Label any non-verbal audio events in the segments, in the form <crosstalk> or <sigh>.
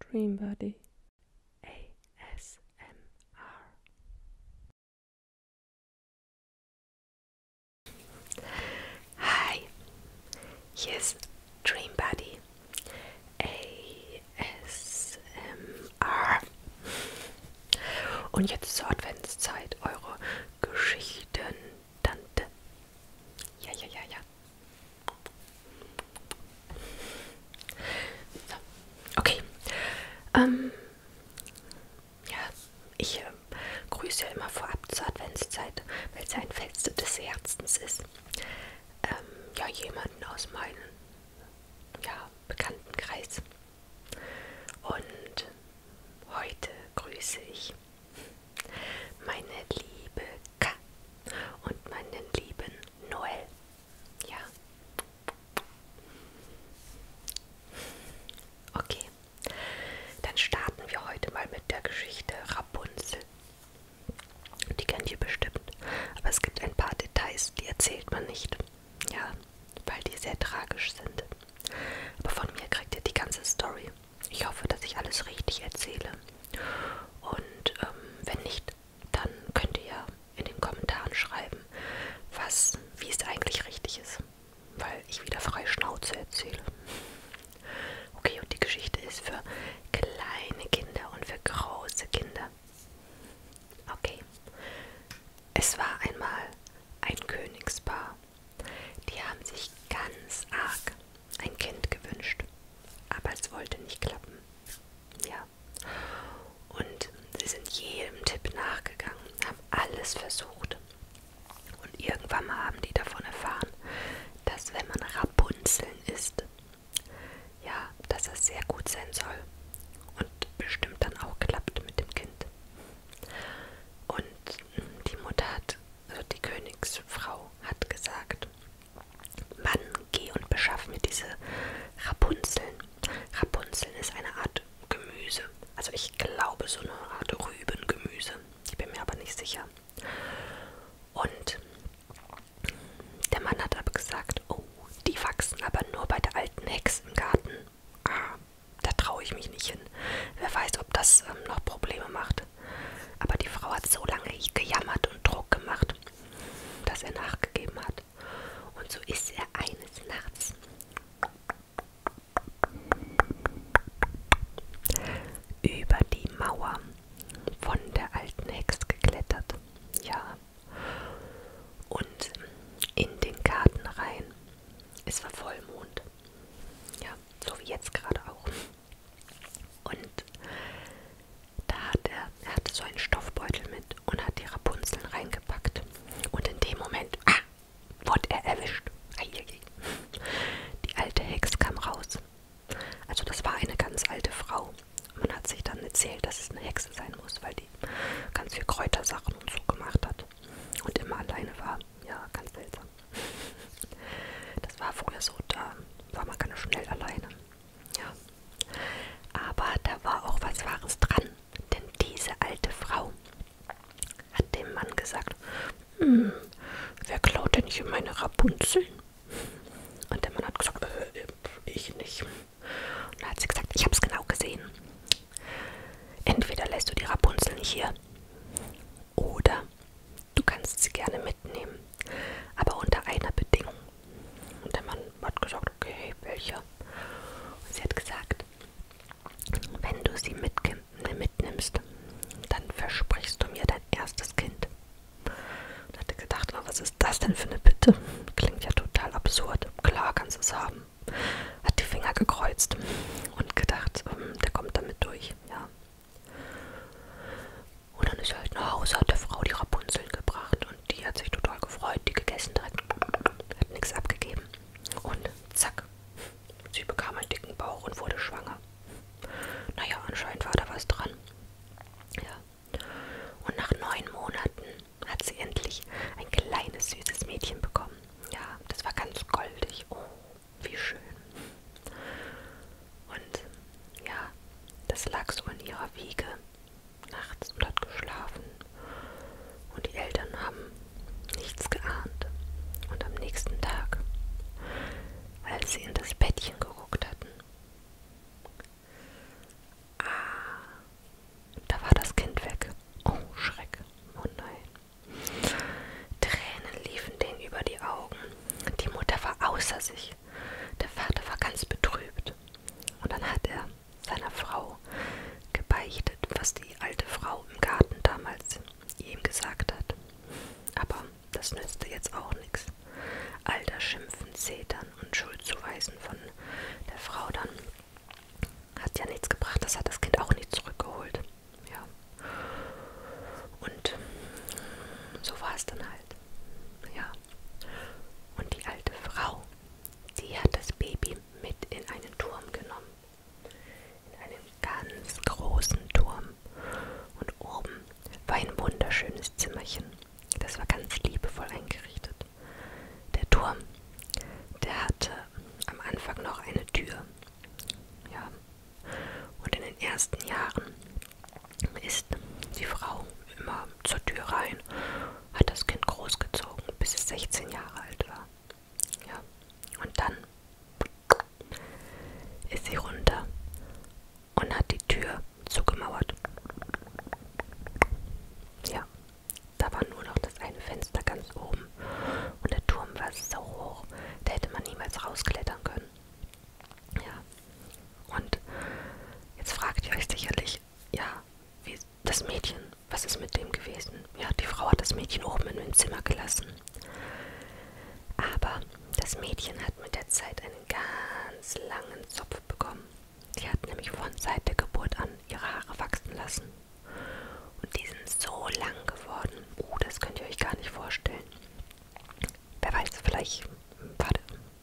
Dreambody ASMR. Hi, hier ist Dreambody ASMR. Und jetzt zur Adventszeit eure Geschichten, Tante. Ja, ja, ja, ja. So, okay. Ähm, ja, ich äh, grüße ja immer vorab zur Adventszeit, weil es ein Fest des Herzens ist. Ähm, ja, jemanden aus meinem ja, Bekanntenkreis. Und heute grüße ich meine liebe K und meinen lieben Noel. Ja. Okay, dann starten wir heute mal mit der Geschichte Rapunzel. Die kennt ihr bestimmt, aber es gibt ein paar Details, die erzählt man nicht. Ja, weil die sehr tragisch sind. Aber von mir kriegt ihr die ganze Story. Ich hoffe, dass ich alles richtig erzähle. Und ähm, wenn nicht, dann könnt ihr ja in den Kommentaren schreiben, was, wie es eigentlich richtig ist. Weil ich wieder frei Schnauze erzähle. Okay, und die Geschichte ist für kleine Kinder und für große Kinder. Okay. Es war einmal ein Königspaar. Die haben sich ganz arg ein Kind gewünscht, aber es wollte nicht klappen. Ja. Und sie sind jedem Tipp nachgegangen, haben alles versucht. Und irgendwann mal haben die davon erfahren, dass wenn man Rapunzeln isst, ja, dass das sehr gut sein soll und bestimmt dann auch klappt mit dem Kind. Und die Mutter hat also die Königsfrau, hat gesagt, Mann, geh und beschaff mir diese Rapunzeln. Rapunzeln ist eine Art Gemüse. Also ich glaube so eine Art Rübengemüse. Ich bin mir aber nicht sicher. Und der Mann hat aber gesagt, oh, die wachsen aber nur bei der alten Hex im Garten. Ah, da traue ich mich nicht hin. Wer weiß, ob das ähm, noch Probleme macht gemacht. Aber die Frau hat so lange gejammert und Druck gemacht, dass er nachgegeben hat. Und so ist er eines Nachts über die Mauer von der alten Hex geklettert. Ja. Und in den Garten rein. Es war Vollmond. Ja, so wie jetzt gerade auch. Und da hat er, er hatte so einen Stoffbeutel mit und hat die Rapunzeln reingepackt. Und in dem Moment ah, wurde er erwischt. Die alte Hex kam raus. Also das war eine ganz alte Frau. Man hat sich dann erzählt, dass es eine Hexe sein muss, weil die ganz viel Kräutersachen und so gemacht hat. Und immer alleine war. Ja, ganz seltsam. Das war früher so, da war man ganz schnell alleine. Ja. Aber da war auch was Wahres dran, denn diese alte Frau hat dem Mann gesagt, hm, wer klaut denn hier meine Rapunzel? Und der Mann hat gesagt, äh, ich nicht. Und da hat sie gesagt, ich hab's genau gesehen. Entweder lässt du die Rapunzel nicht hier oder du kannst sie gerne mitnehmen, aber unter einer Bedingung. Und der Mann hat gesagt, okay, welche? Und sie hat gesagt, wenn du sie ne, mitnimmst, dann versprichst du mir dein erstes Kind. Und hatte gedacht, oh, was ist das denn für eine Bitte? Klingt ja total absurd. Klar kannst du es haben. Hat die Finger gekreuzt und gedacht, ähm, der kommt damit durch. Ja. Und dann ist er halt nach Hause, hat der Frau die Rapunzeln gebracht und die hat sich total gefreut, die gegessen direkt, hat nichts abgegeben. Und zack, sie bekam einen dicken Bauch und wurde schwanger. Naja, anscheinend war da was dran. Ja. Und nach neun Monaten hat sie endlich ein kleines, süßes Mädchen bekommen. Ja, das war ganz goldig. Oh, wie schön. Und ja, das lag so in ihrer Wiege nachts und hat geschlafen. Und die Eltern haben nichts geahnt. Und am nächsten Tag, als sie in das Bettchen geguckt hatten, ah, da war das Kind weg. Oh, Schreck. Oh nein. Tränen liefen denen über die Augen. Die Mutter war außer sich. Der Vater war ganz betrübt. Und dann hat er seiner Frau gebeichtet, was die alte Frau im Garten damals ihm gesagt hat. Aber das nützte jetzt auch nichts. All das Schimpfen, Zetern und Schuldzuweisen von der Frau dann hat ja nichts gebracht. Das hat das Kind auch nicht zurückgeholt. Ja. Und so war es dann halt. Ja. Und die alte Frau, die hat das Baby mit in einen Turm genommen. In einen ganz großen Turm. Und oben war ein wunderschönes Zimmerchen. Das war ganz liebevoll eingerichtet. Der Turm, der hatte am Anfang noch eine Tür. Ja, und in den ersten Jahren ist die Frau immer zur Tür rein, hat das Kind großgezogen, bis es 16 Jahre alt war. Ja. Und dann ist sie runter und hat die Tür zugemauert. Ja, da war nur noch das eine Fenster ganz oben oben. Und der Turm war so hoch, da hätte man niemals rausklettern können. Ja. Und jetzt fragt ihr euch sicherlich, ja, wie, das Mädchen, was ist mit dem gewesen? Ja, die Frau hat das Mädchen oben in dem Zimmer gelassen. Aber das Mädchen hat mit der Zeit einen ganz langen Zopf bekommen. Sie hat nämlich von seit der Geburt an ihre Haare wachsen lassen. Und die sind so lang geworden. Uh, das könnt ihr euch gar nicht vorstellen. Wer weiß, vielleicht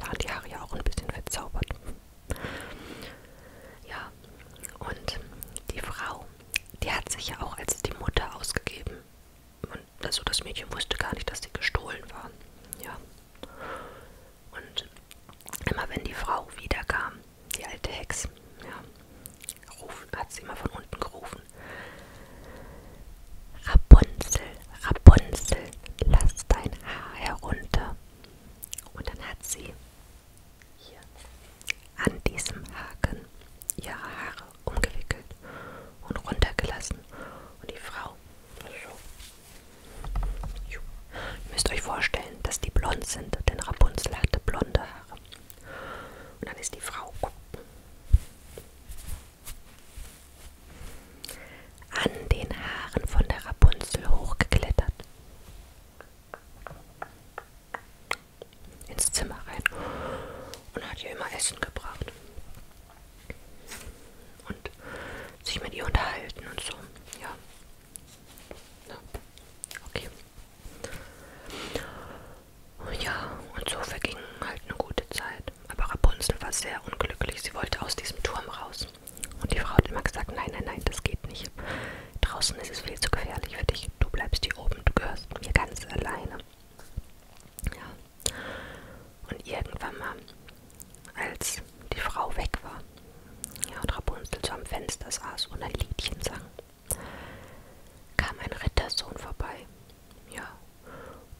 waren die Haare ja auch ein bisschen verzaubert. Ja, und die Frau, die hat sich ja auch als die Mutter ausgegeben. Und also das Mädchen wusste gar nicht, dass sie gestohlen waren. Ja. Und immer wenn die Frau wiederkam, die alte Hex, ja, Ruf, hat sie immer von unten gerufen. Rapunzel, Rapunzel, lass dein Haar herunter. Und dann hat sie hier an diesem Haken ihre Haare umgewickelt und runtergelassen. Und die Frau, ihr müsst euch vorstellen, dass die blond sind, denn Rapunzel hatte blonde Haare. Und dann ist die Frau an den Haaren von der Rapunzel hochgeklettert. Ins Zimmer rein und hat ihr immer Essen gebracht. Und sich mit ihr unterhalten und so. Ja. ja. Okay. Ja, und so verging halt eine gute Zeit. Aber Rapunzel war sehr unglücklich. Sie wollte aus diesem Turm raus. Und die Frau hat immer gesagt, nein, nein, nein, das geht nicht. Draußen ist es viel zu gefährlich für dich. Du bleibst hier oben, du gehörst mir ganz alleine. Ja. Und irgendwann mal, als die Frau weg war, ja, und Rapunzel so am Fenster saß und ein Liedchen sang, kam ein Rittersohn vorbei. Ja,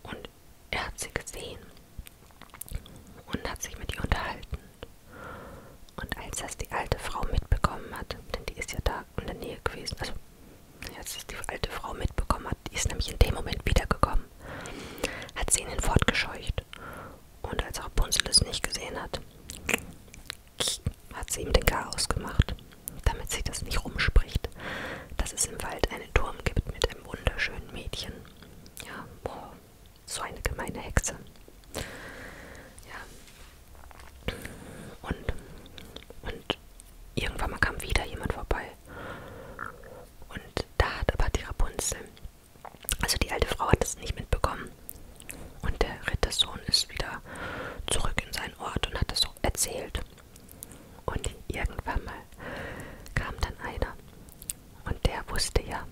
und er hat sie gesehen und hat sich mit ihr unterhalten. Und als das die alte Frau mitbekommen hat, denn die ist ja da in der Nähe gewesen, also als das die alte Frau mitbekommen hat, die ist nämlich in dem Moment wiedergekommen, hat sie ihn fortgescheucht. Und als Rapunzel es nicht gesehen hat, hat sie ihm den Chaos gemacht, damit sie das nicht rumspricht, dass es im Wald einen Turm gibt mit einem wunderschönen Mädchen. Ja, oh, so eine gemeine Hexe. Ja. Und, und irgendwann mal kam wieder jemand vorbei. Und da hat aber die Rapunzel, also die alte Frau hat das nicht mitbekommen, und der Rittersohn ist wieder zurück in seinen Ort und hat das so erzählt. Und irgendwann mal kam dann einer. Und der wusste ja,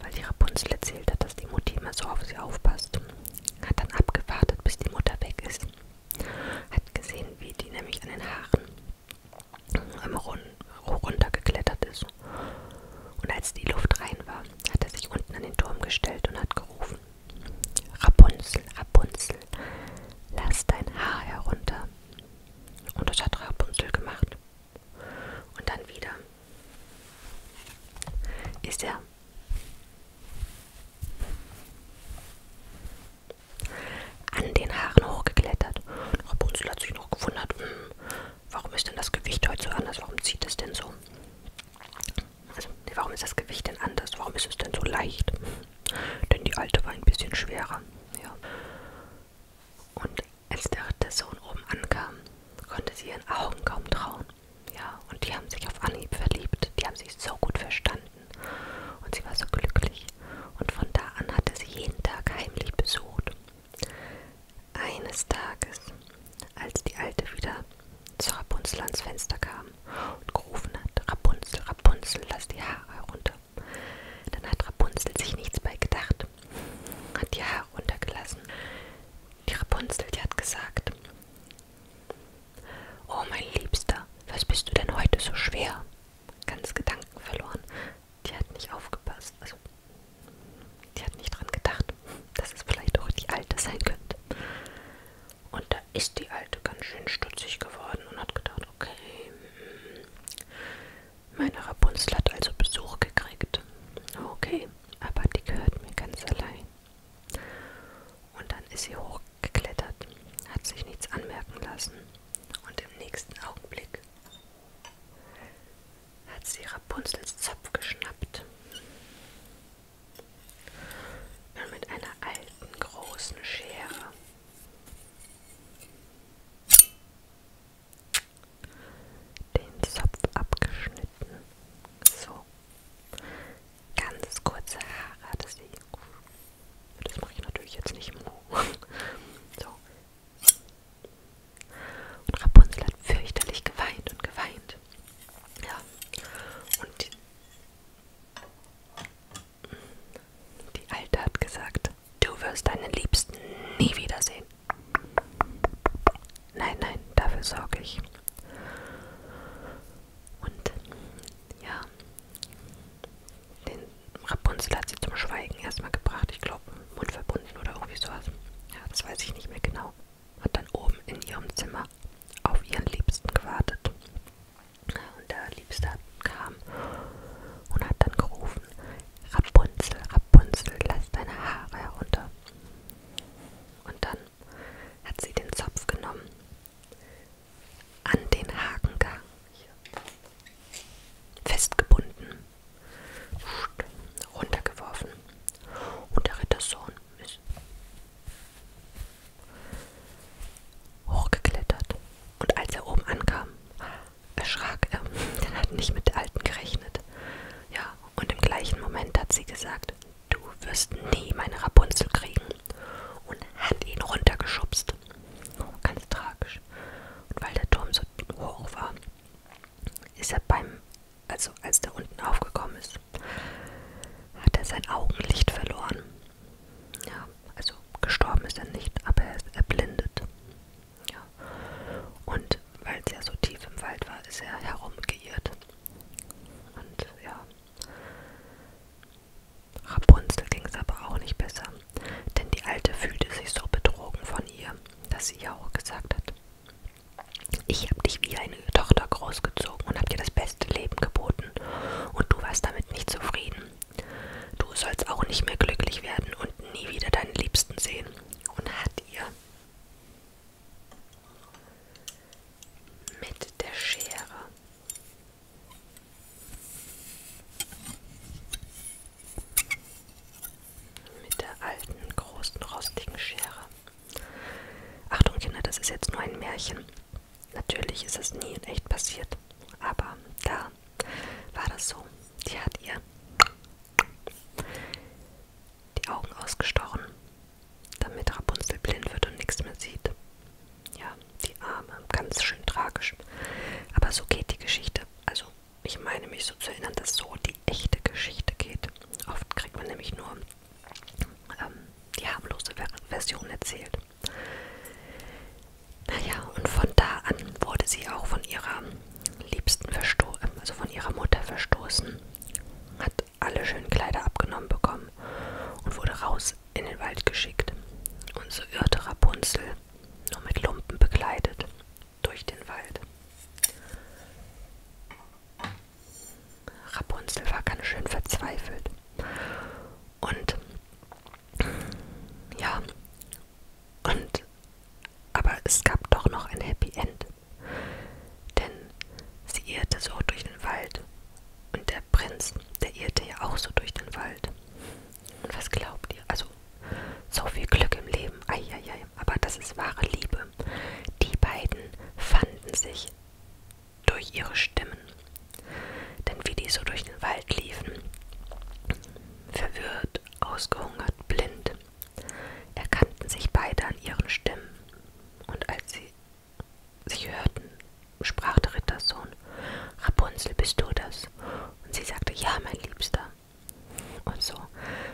weil die Rapunzel erzählt hat, dass die Mutter immer so auf sie aufpasst. Hat dann abgewartet, bis die Mutter weg ist. Hat gesehen, wie die nämlich an den Haaren runtergeklettert ist. Und als die Luft rein war, hat er sich unten an den Turm gestellt und hat gerufen. Rapunzel, Rapunzel, lass dein Haar herunter. Und das hat Rapunzel gemacht. Und dann wieder ist er an den Haaren hochgeklettert. Und Rapunzel hat sich noch gewundert, hm, warum ist denn das Gewicht heute so anders? Warum zieht es denn so? Also, nee, warum ist das Gewicht denn anders? Warum ist es denn so leicht? Denn die alte war ein bisschen schwerer. Ja. Und als der Sohn oben ankam, konnte sie ihren Augen kaum trauen. Ja, und die haben sich auf Anhieb verliebt. Die haben sich so gut verstanden. Und sie war so glücklich. Und von da an hatte sie jeden Tag heimlich besucht. Eines Tages, als die Alte wieder zu Rapunzel ans Fenster kam und gerufen hat, Rapunzel, Rapunzel, lass die Haare herunter. Dann hat Rapunzel sich nichts bei gedacht, hat die Haare runtergelassen. Die Rapunzel, die hat gesagt, Oh mein Liebster, was bist du denn heute so schwer? Ganz Gedanken verloren. Die hat nicht aufgepasst. Also die hat nicht dran gedacht, dass es vielleicht auch die alte sein könnte. Und da ist die alte ganz schön stutzig geworden und hat gedacht, okay, hm, meine Rapunzel hat also Besuch gekriegt. Okay, aber die gehört mir ganz allein. Und dann ist sie hochgeklettert, hat sich nichts anmerken lassen und im nächsten Augenblick hat sie Rapunzels Zopf geschnappt und mit einer alten großen Schere den Zopf abgeschnitten. So. Ganz kurze Haare hatte sie. Das mache ich natürlich jetzt nicht im <laughs> So. Und Rapunzel hat fürchterlich geweint und geweint. Ja. Und die, die Alte hat gesagt, du wirst deinen Liebsten nie wiedersehen. Nein, nein, dafür sorge ich. Und ja, den Rapunzel hat sie zum Schweigen erstmal gebracht. Ich glaube, Mund verbunden oder irgendwie sowas. Ja, das weiß ich nicht mehr genau hat dann oben in ihrem Zimmer auf ihren Liebsten gewartet. Und der Liebste kam und hat dann gerufen, Rapunzel, Rapunzel, lass deine Haare herunter. Und dann hat sie den Zopf genommen, an den Haken festgebunden runtergeworfen. Und der Rittersohn ist hochgeklettert. Und als er oben ankam, erschrak er, denn <laughs> er hat nicht mit der Alten gerechnet. Ja, und im gleichen Moment hat sie gesagt, du wirst nie meine Rapunzel kriegen. Und hat ihn runtergeschubst. Ganz tragisch. Und weil der Turm so hoch war, ist er beim, also als der unten aufgekommen ist, hat er sein Augenlicht verloren. Ja, also gestorben ist er nicht, aber er ist erblindet. Ja. Und weil es ja so tief im Wald war, ist er herumgeirrt. Und ja, Rapunzel ging es aber auch nicht besser, denn die Alte fühlte sich so betrogen von ihr, dass sie ja auch gesagt hat, ich habe dich wie eine Tochter großgezogen und habe dir das beste Leben geboten. Und du warst damit nicht zufrieden. Du sollst auch nicht mehr glücklich werden und nie wieder deine Liebsten sehen. Und hat ihr mit der Schere mit der alten, großen, rostigen Schere. Achtung Kinder, das ist jetzt nur ein Märchen. Natürlich ist es nie in echt passiert, aber da war das so. Die hat ihr die Augen ausgestochen, damit Rapunzel blind wird und nichts mehr sieht. Ja, die Arme, ganz schön tragisch. Aber so geht die Geschichte. Also ich meine mich so zu erinnern, dass so die echte Geschichte geht. Oft kriegt man nämlich nur ähm, die harmlose Version erzählt. Naja, und von da an wurde sie auch von ihrer Liebsten verstoßen, ähm, also von ihrer Mutter verstoßen, hat alle schönen Kleider abgenommen bekommen und wurde raus in den Wald geschickt. Und so irrte Rapunzel, nur mit Lumpen bekleidet, durch den Wald. Rapunzel war ganz schön verzweifelt. Und ja, und aber es gab doch noch ein Happy End. Denn sie irrte so durch den Wald. Und der Prinz, der irrte ja auch so durch den Wald. Und was glaubt ihr? Also so viel Glück im Leben. Eieiei. Aber das ist wahre Liebe. Die beiden fanden sich durch ihre Stimmen. Denn wie die so durch den Wald liefen, verwirrt, ausgehungert, blind, erkannten sich beide an ihren Stimmen. Und als sie sich hörten, sprach der Rittersohn, Rapunzel, bist du das? Und sie sagte, ja, mein Liebster. Und so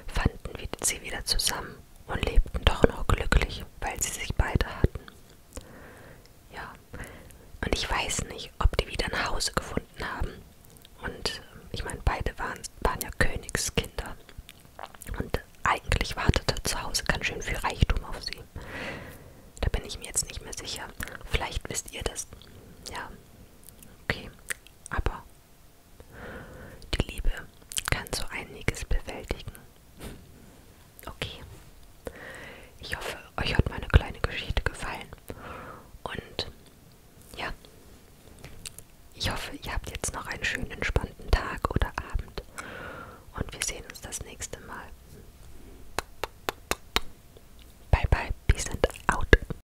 fanden sie wieder zusammen und lebten doch nur glücklich, weil sie sich beide hatten. Ja, und ich weiß nicht, ob die wieder nach Hause gefunden haben. Und äh, ich meine, beide waren, waren ja Königskinder. Und eigentlich wartete zu Hause ganz schön viel Reichtum auf sie. Da bin ich mir jetzt nicht mehr sicher. Vielleicht wisst ihr das. Ja, okay. Aber die Liebe kann so einiges bewältigen. Okay. Ich hoffe, euch hat meine kleine Geschichte gefallen. Und ja, ich hoffe, ihr habt jetzt noch einen schönen, entspannten Tag oder Abend. Und wir sehen uns das nächste Mal. Bye bye, peace and out.